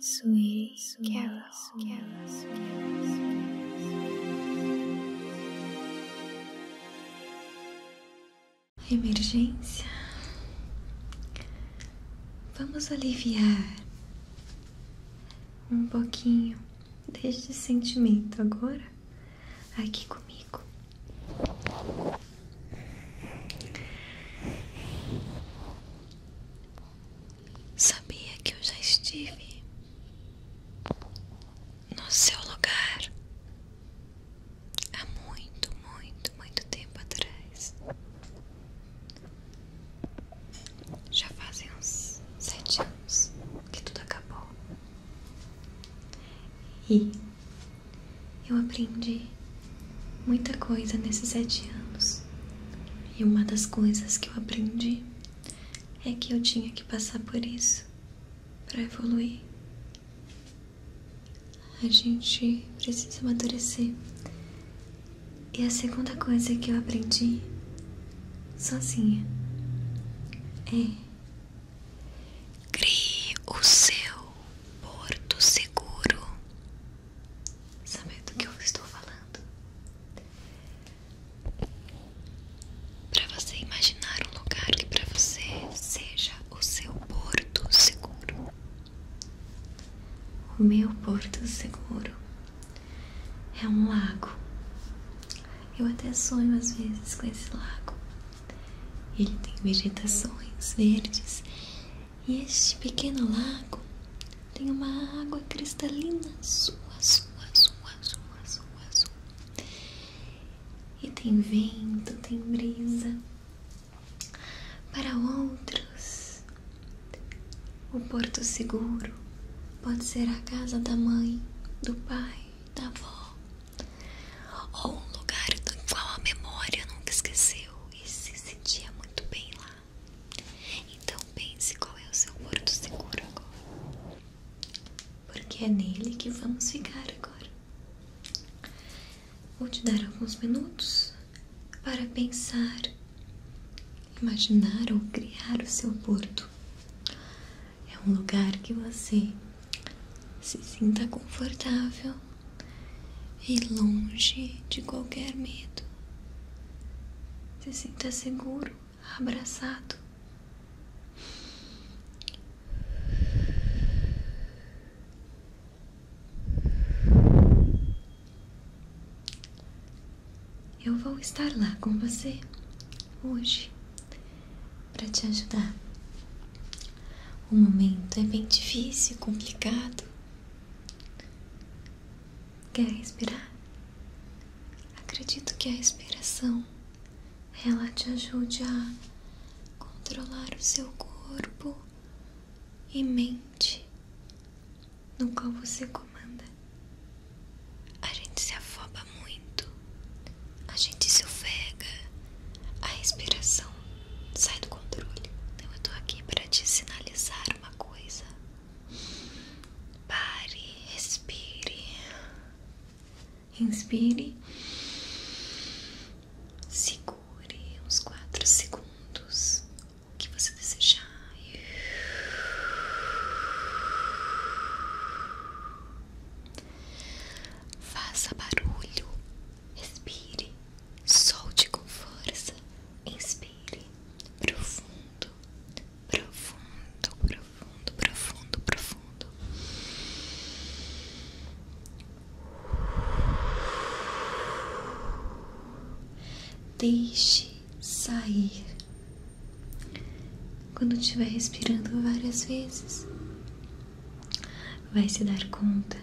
Sweet, sweet Carol. Carol, Carol, Emergência. Vamos aliviar um pouquinho deste sentimento agora aqui comigo. Sabia que eu já estive no seu lugar há muito, muito, muito tempo atrás. Já fazem uns sete anos que tudo acabou. E eu aprendi muita coisa nesses sete anos. E uma das coisas que eu aprendi é que eu tinha que passar por isso para evoluir. A gente precisa amadurecer. E a segunda coisa que eu aprendi sozinha é crie o seu porto seguro saber do que eu estou falando. Para você imaginar um lugar que para você seja o seu porto seguro. O meu porto seguro é um lago. Eu até sonho às vezes com esse lago. Ele tem vegetações verdes e este pequeno lago tem uma água cristalina azul, azul, azul, azul, E tem vento, tem brisa. Para outros, o porto seguro pode ser a casa da mãe, do pai, da avó, ou um lugar do qual a memória nunca esqueceu e se sentia muito bem lá. Então pense qual é o seu porto seguro agora. Porque é nele que vamos ficar agora. Vou te dar alguns minutos para pensar, imaginar ou criar o seu porto. É um lugar que você se sinta confortável e longe de qualquer medo. Se sinta seguro, abraçado. Eu vou estar lá com você hoje para te ajudar o momento é bem difícil, complicado. Quer respirar? Acredito que a respiração ela te ajude a controlar o seu corpo e mente no qual você comanda. A gente se afoba muito, a gente se ofega, a respiração sai do controle. Então eu tô aqui para te sinalizar uma coisa. Pare, expire, Inspire. Segure uns quatro segundos. O que você desejar. Faça barulho, respire, solte com força, inspire, profundo, profundo, profundo, profundo, profundo. Deixe sair. Quando estiver respirando várias vezes, vai se dar conta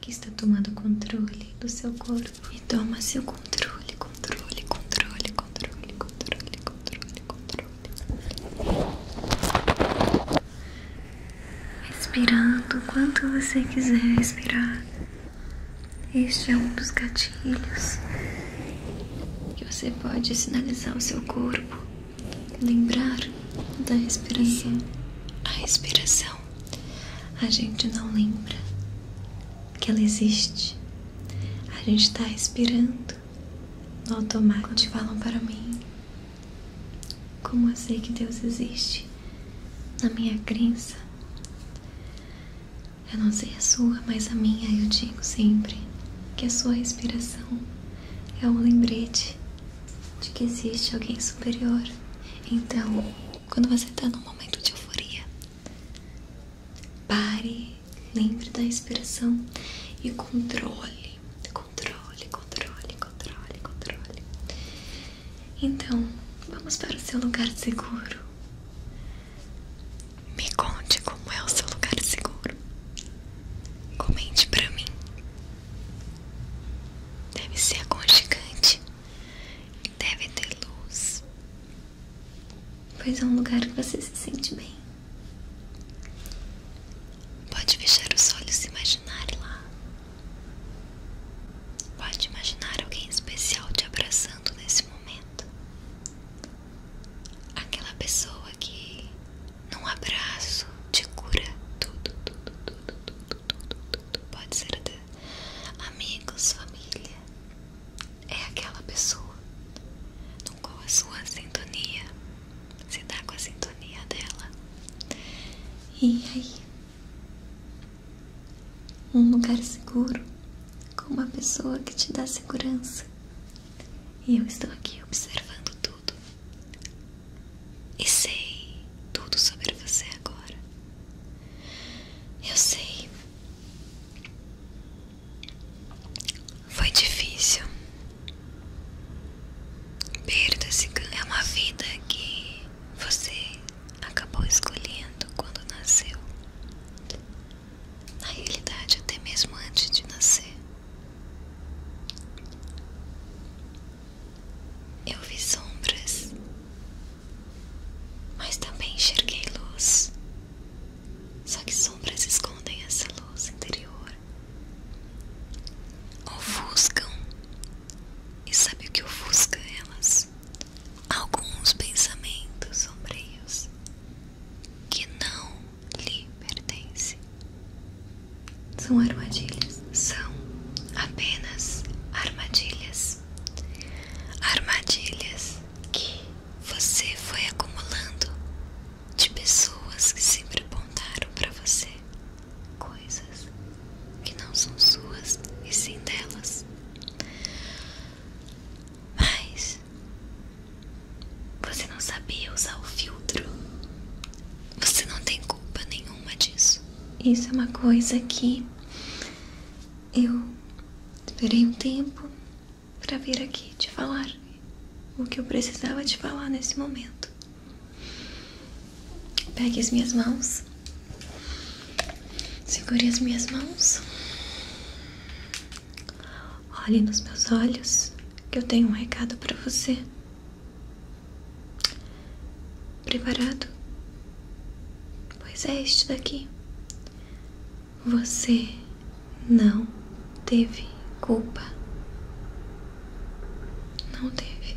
que está tomando controle do seu corpo e toma seu controle, controle, controle, controle, controle, controle, controle. Respirando quanto você quiser respirar. Este é um dos gatilhos que você pode sinalizar o seu corpo lembrar da respiração. A respiração a gente não lembra que ela existe. A gente está respirando no automático. Quando falam para mim, como eu sei que Deus existe? Na minha crença, eu não sei a sua, mas a minha eu digo sempre que a sua respiração é um lembrete de que existe alguém superior. Então, quando você está num momento de euforia, pare, lembre da respiração e controle, controle, controle, controle, controle. Então, vamos para o seu lugar seguro. Me conte como é o seu lugar seguro. Comente pra mim. Deve ser aconchegante. Deve ter luz. Pois é um lugar que você se sente bem. Pode fechar os olhos e imaginar lá. Pode imaginar alguém especial te abraçando nesse momento aquela pessoa que num abraço te cura tudo, tudo, tudo, tudo, tudo, tudo. Pode ser até amigos, família. É aquela pessoa no qual a sua sintonia se dá tá com a sintonia dela. E aí? Um lugar seguro com uma pessoa que te dá segurança. E eu estou aqui observando tudo. E sei tudo sobre você agora. Eu sei. Foi difícil. Perda se é uma vida que você acabou escolhendo quando nasceu na realidade, até mesmo antes de nascer. Eu vi sombras, mas também enxerguei luz. Só que sombras escondem essa luz interior, ofuscam, e sabe o que ofusca elas? Alguns pensamentos sombrios que não lhe pertence. São armadilhas. São apenas armadilhas. Armadilhas que você foi acumulando de pessoas que sempre apontaram para você coisas que não são suas e sim delas. Mas você não sabia usar o filtro. Você não tem culpa nenhuma disso. Isso é uma coisa que eu esperei um tempo para vir aqui te falar o que eu precisava te falar nesse momento. Pegue as minhas mãos. Segure as minhas mãos. Olhe nos meus olhos que eu tenho um recado para você. Preparado? Pois é este daqui. Você não teve culpa. Não teve.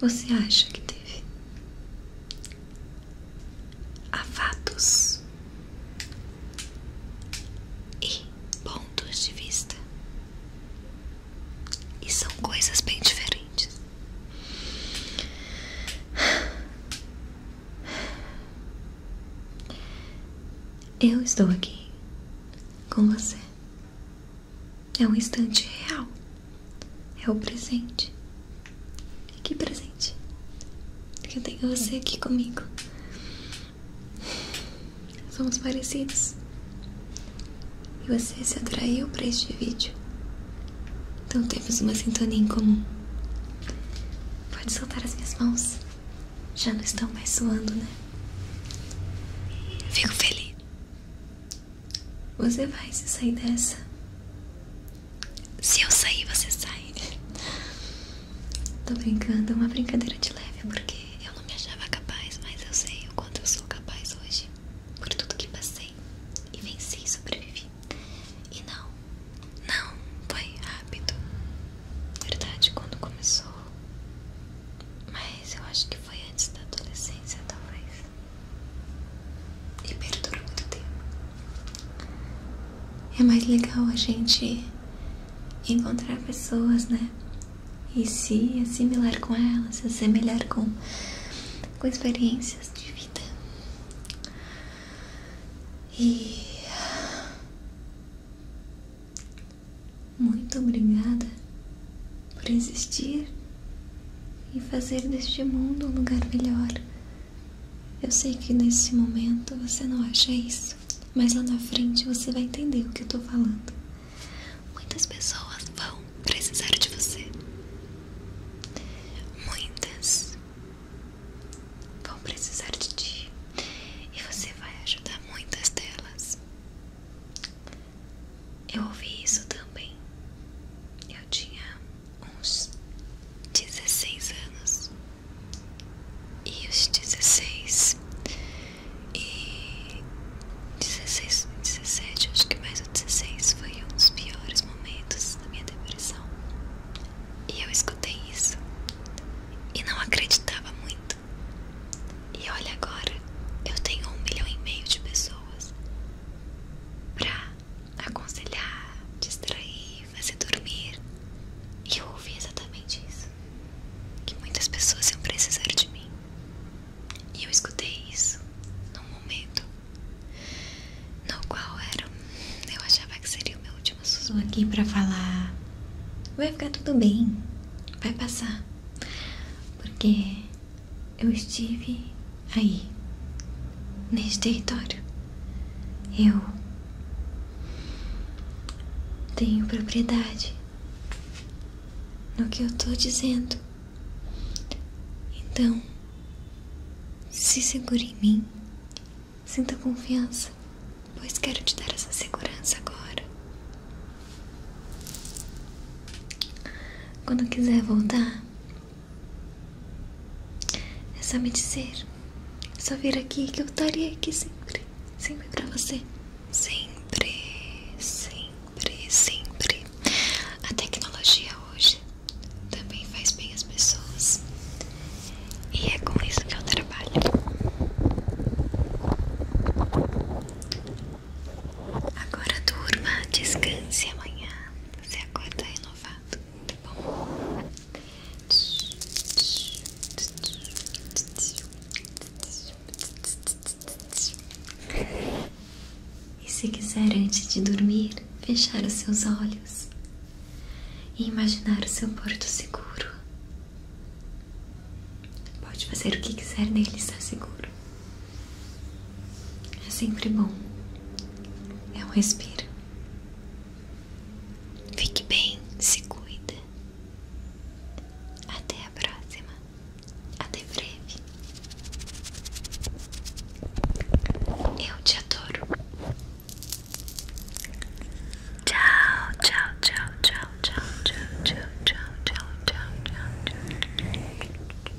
Você acha que teve a fatos e pontos de vista. E são coisas bem diferentes. Eu estou aqui com você. É um instante real. É o presente. Que presente que eu tenho você aqui comigo. Somos parecidos. E você se atraiu para este vídeo. Então temos uma sintonia em comum. Pode soltar as minhas mãos. Já não estão mais suando, né? Fico feliz. Você vai se sair dessa se eu sair, você sai. Tô brincando, é uma brincadeira de leve, porque eu não me achava capaz, mas eu sei o quanto eu sou capaz hoje, por tudo que passei, e venci e sobrevivi. E não, não foi rápido. Verdade, quando começou. Mas eu acho que foi antes da adolescência, talvez e perdura muito tempo. É mais legal a gente encontrar pessoas, né? E se assimilar com elas, se assemelhar com, com experiências de vida. E. Muito obrigada por existir e fazer deste mundo um lugar melhor. Eu sei que nesse momento você não acha isso, mas lá na frente você vai entender o que eu tô falando. Muitas pessoas vão precisar de você. Muitas vão precisar de ti. E você vai ajudar muitas delas. Eu ouvi isso também. Eu tinha uns 16 anos e os 16 e 16, 17, acho que mais o 16 foi um dos piores momentos da minha depressão. E eu escutei isso e não acreditava muito. E olha agora, eu tenho um milhão e meio de pessoas pra aconselhar, distrair, fazer dormir. E eu ouvi exatamente isso: que muitas pessoas iam precisar de mim. E eu escutei isso num momento no qual era. Eu achava que seria o meu último sussurro aqui para falar: vai ficar tudo bem, vai passar. Porque eu estive aí, nesse território. Eu tenho propriedade no que eu estou dizendo. Então, se segure em mim, sinta confiança, pois quero te dar essa segurança agora. Quando quiser voltar, é só me dizer. É só vir aqui que eu estaria aqui sempre. Sempre pra você. Sempre, sempre, sempre. A tecnologia hoje também faz bem as pessoas. E é com isso que eu trabalho. Agora turma, descanse amanhã. Você acorda renovado, tá bom? E se quiser antes de dormir, fechar os seus olhos e imaginar o seu porto seguro. Pode fazer o que quiser nele está seguro. É sempre bom. É um respiro. Fique bem, se cuida. Até a próxima. Até breve. Eu te adoro. Tchau, tchau, tchau, tchau, tchau, tchau, tchau, tchau, tchau, tchau, tchau.